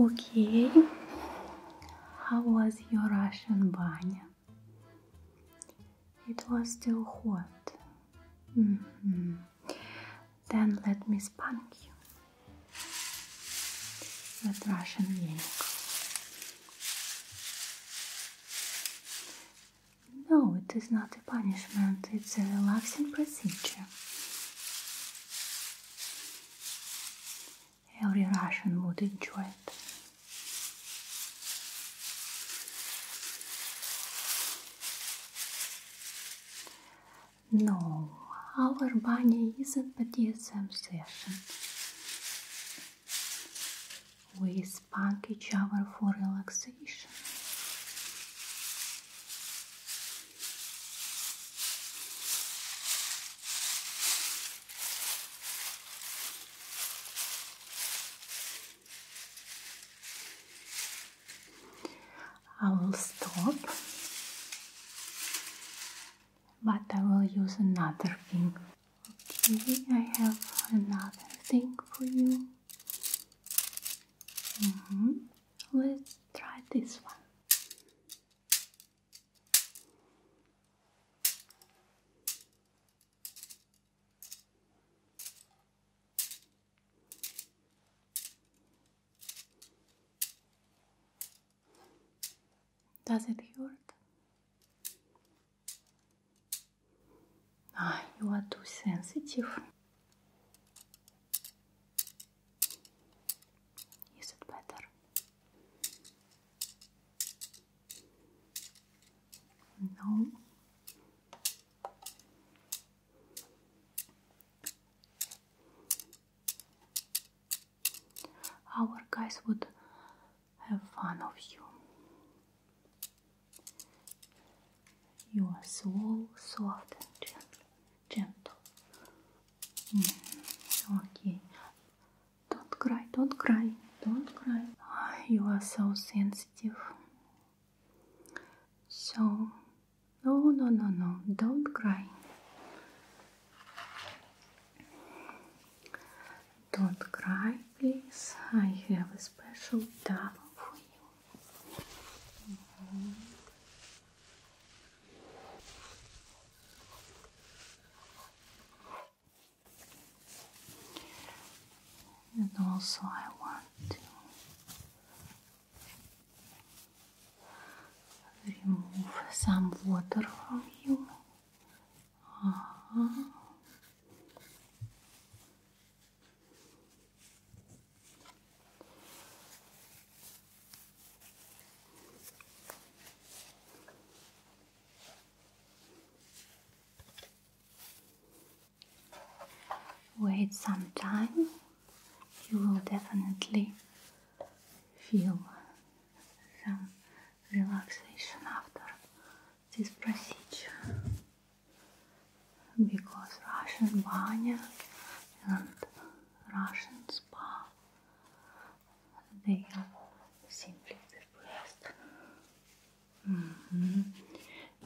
Okay, how was your Russian banya? It was still hot. Mm -hmm. Then let me spank you with Russian yank. No, it is not a punishment, it's a relaxing procedure. Every Russian would enjoy it. No, our bunny isn't BDSM session. We spank each other for relaxation. I will stop, but I will use another thing. Okay, I have another thing for you. Mm-hmm. Let's try this one. Does it hurt? Ah, you are too sensitive. Is it better? No. Our guys would have fun of you. You are so soft and gentle. Mm, okay. Don't cry, don't cry, don't cry. Ah, you are so sensitive. So, no, no, no, no, don't cry. Don't cry, please. I have a special towel for you. Mm-hmm. also, I want to remove some water from you. Uh Wait some time, you will definitely feel some relaxation after this procedure because Russian banya and Russian spa they are simply the best. Mm-hmm.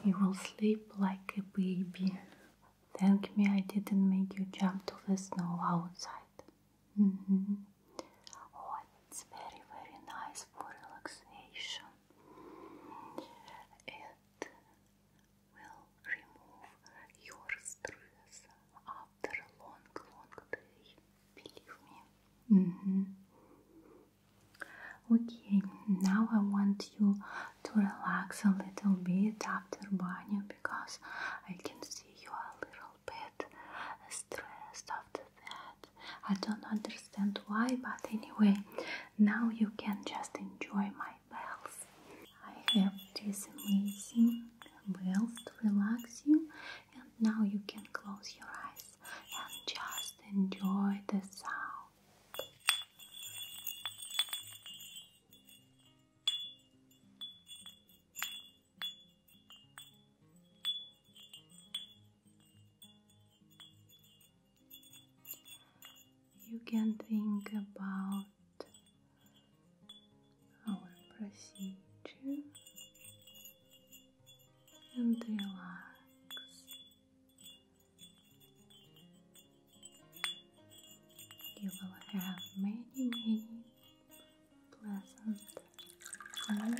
You will sleep like a baby. Thank me, I didn't make you jump to the snow outside. Mm it's very, very nice for relaxation. It will remove your stress after long, long day. Believe me. Mm -hmm. Okay, now I want you to relax a little bit after bathing because I can see you a little bit stressed that. I don't understand why, but anyway, now you can just enjoy my bells. I have this amazing bells to relax you, and now you can close your eyes and just enjoy the sound. You can think about our procedure and relax. You will have many, many pleasant and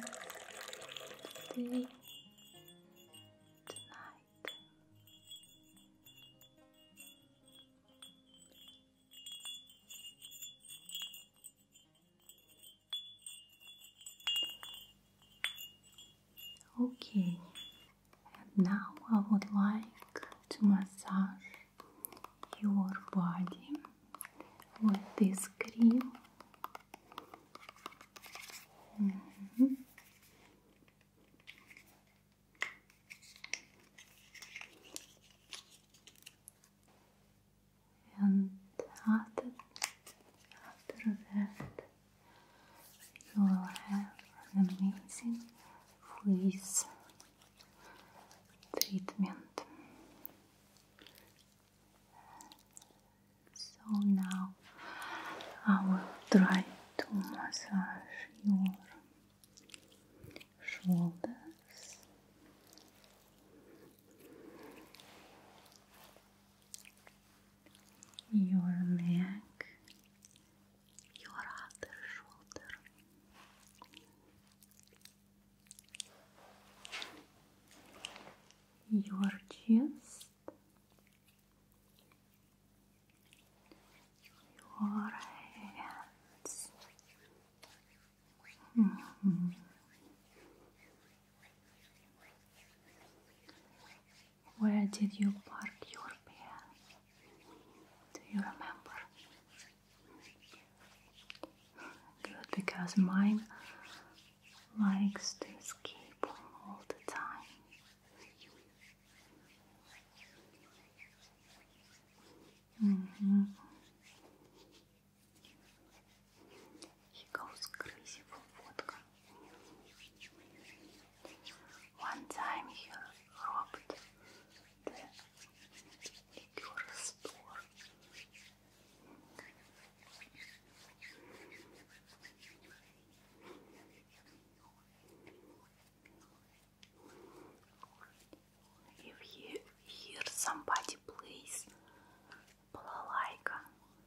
tonight. Okay, and now I would like to massage your body with this cream and after, that, you will have an amazing freeze treatment. So now I will try to massage your shoulders. Your neck, your other shoulder, your chest, your hands. Mm-hmm. Where did you park your pen? Do you remember? Good, because mine likes to escape all the time. -hmm. He goes crazy for vodka. One time he robbed the liquor store if you hear somebody plays balalaika,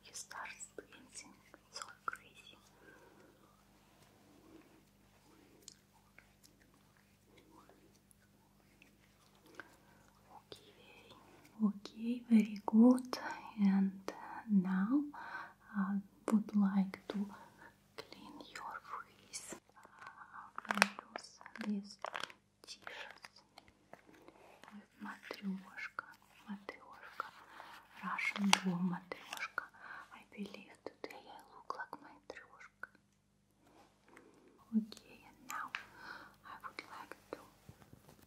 he starts dancing so crazy. Okay, okay, very good. And now I would like to clean your face. use these t matryoshka, matryoshka, Russian doll matryoshka. I believe today I look like matryoshka. Okay, and now I would like to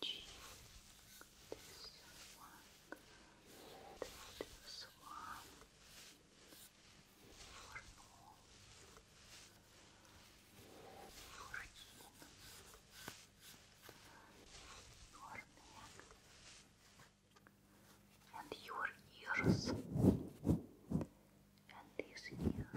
cheek, this one, this one, for no, for your neck, and your ears, and this ear.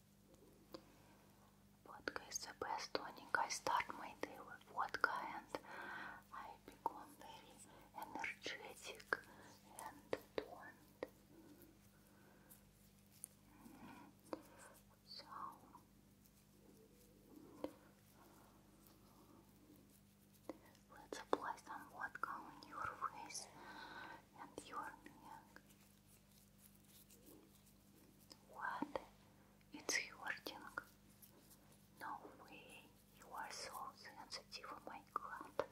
What is the best tonic. I start my day with vodka and I become very energetic and toned. Mm-hmm. let's apply some vodka on your face and your neck. What? It's hurting. No way. You are so sensitive. Oh my god.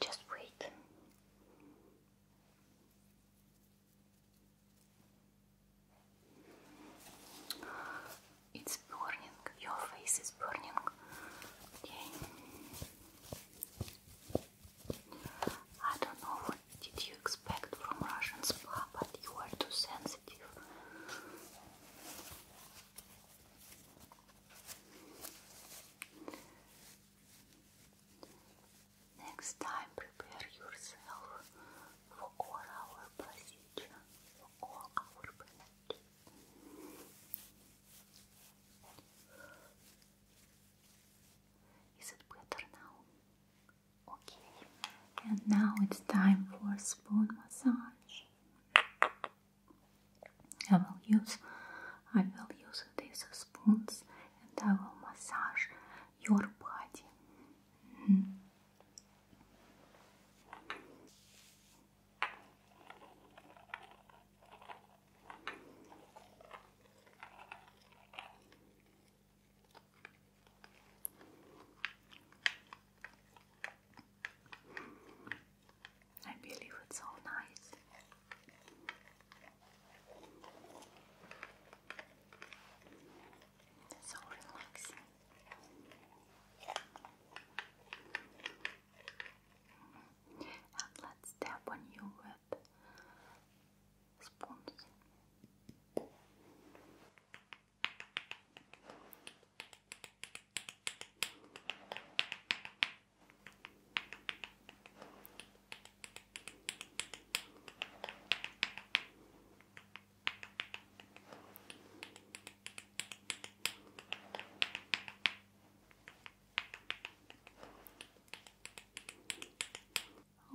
Just wait. It's burning. Your face is burning. I don't know what did you expect from Russian spa, but you are too sensitive. Next time, prepare yourself for all procedure, for all is it better now? Okay. And now it's time for spoon massage. I will use I will use these spoons and I will massage your body. Mm-hmm. I believe it's so nice. It's so relaxing. And let's tap on you with spoons.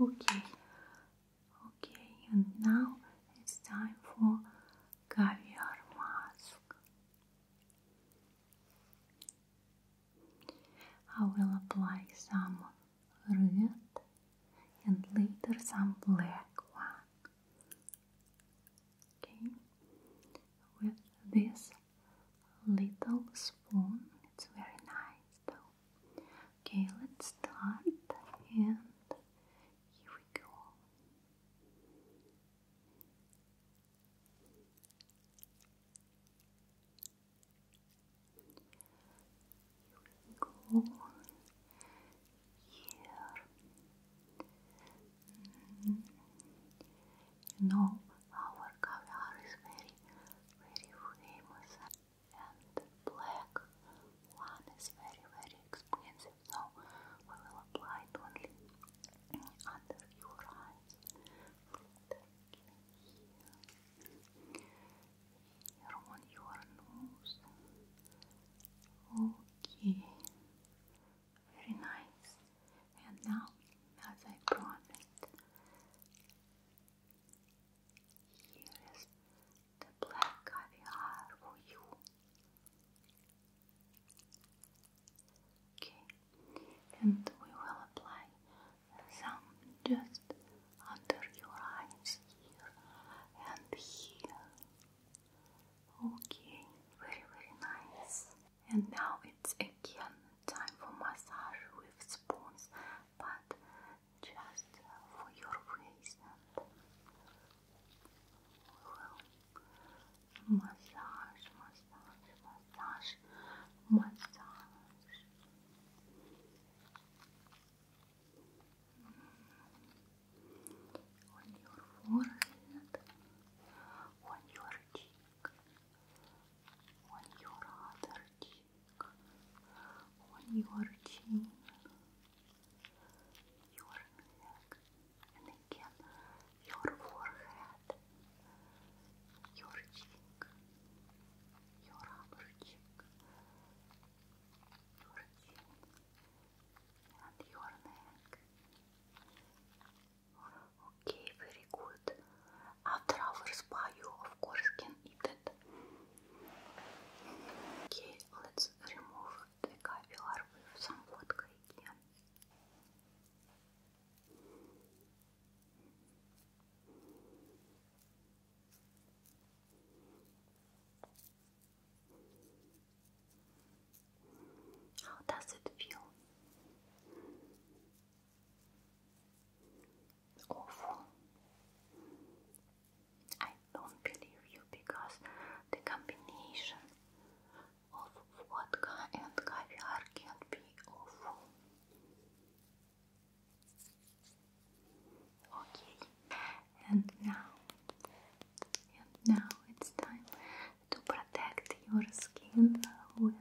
Okay, okay, and now it's time for caviar mask. I will apply some red and later some black one Okay, with this little spoon, it's very nice Okay, let's start and here we go. Here we go here. You our caviar is very, very famous and black one is very, very expensive, so we will apply only under your eyes. Here. your nose. Okay. Very nice. And now, as I promised, here is the black caviar for you. Okay, and we will apply some just under your eyes here and here. Okay, very very nice. And now it's again time for massage with spoons, but just for your face. massage, massage, massage, massage on your forehead, on your cheek, on your other cheek, on your chin, your neck, and again your forehead, your cheek, your upper cheek, your chin. Okay, very good. After our spa, you of course it. Okay, let's remove the caviar with some vodka how does it feel? Awful. I don't believe you because the combination of vodka and caviar can't be awful. Okay, and now, and now it's time to protect your skin with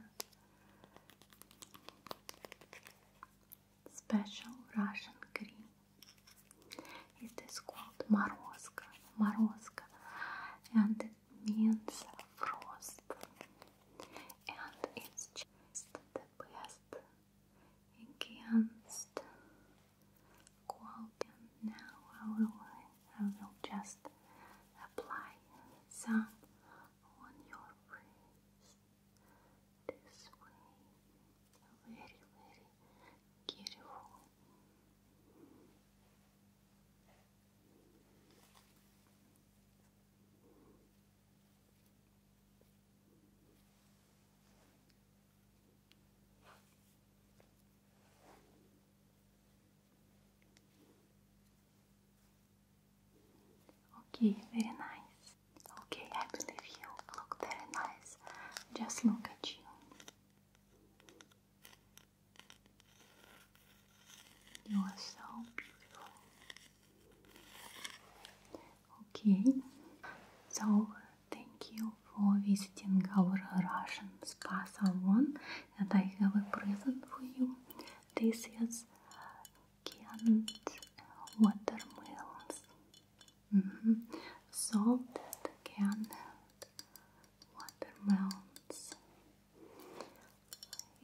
special Russian cream. It is called Morozka, Morozka, and it means frost. And it's just the best against quote and now I will, I will just apply some on your face this way very very beautiful Okay, very nice. Okay, I believe you look very nice. Just look at you. You are so beautiful. Okay, so Thank you for visiting our Russian spa salon, and I have a present for you. This is canned watermelons, mm -hmm. salted canned watermelons.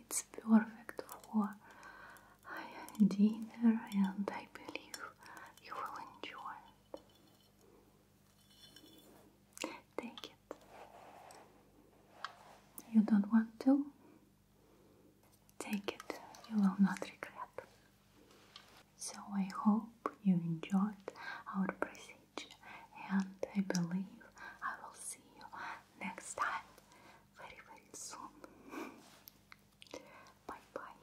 It's perfect for dinner, and I believe you will enjoy it. Take it. You don't want to? Take it. You will not regret. So I hope you enjoyed our procedure and I believe I will see you next time very very soon. Bye bye.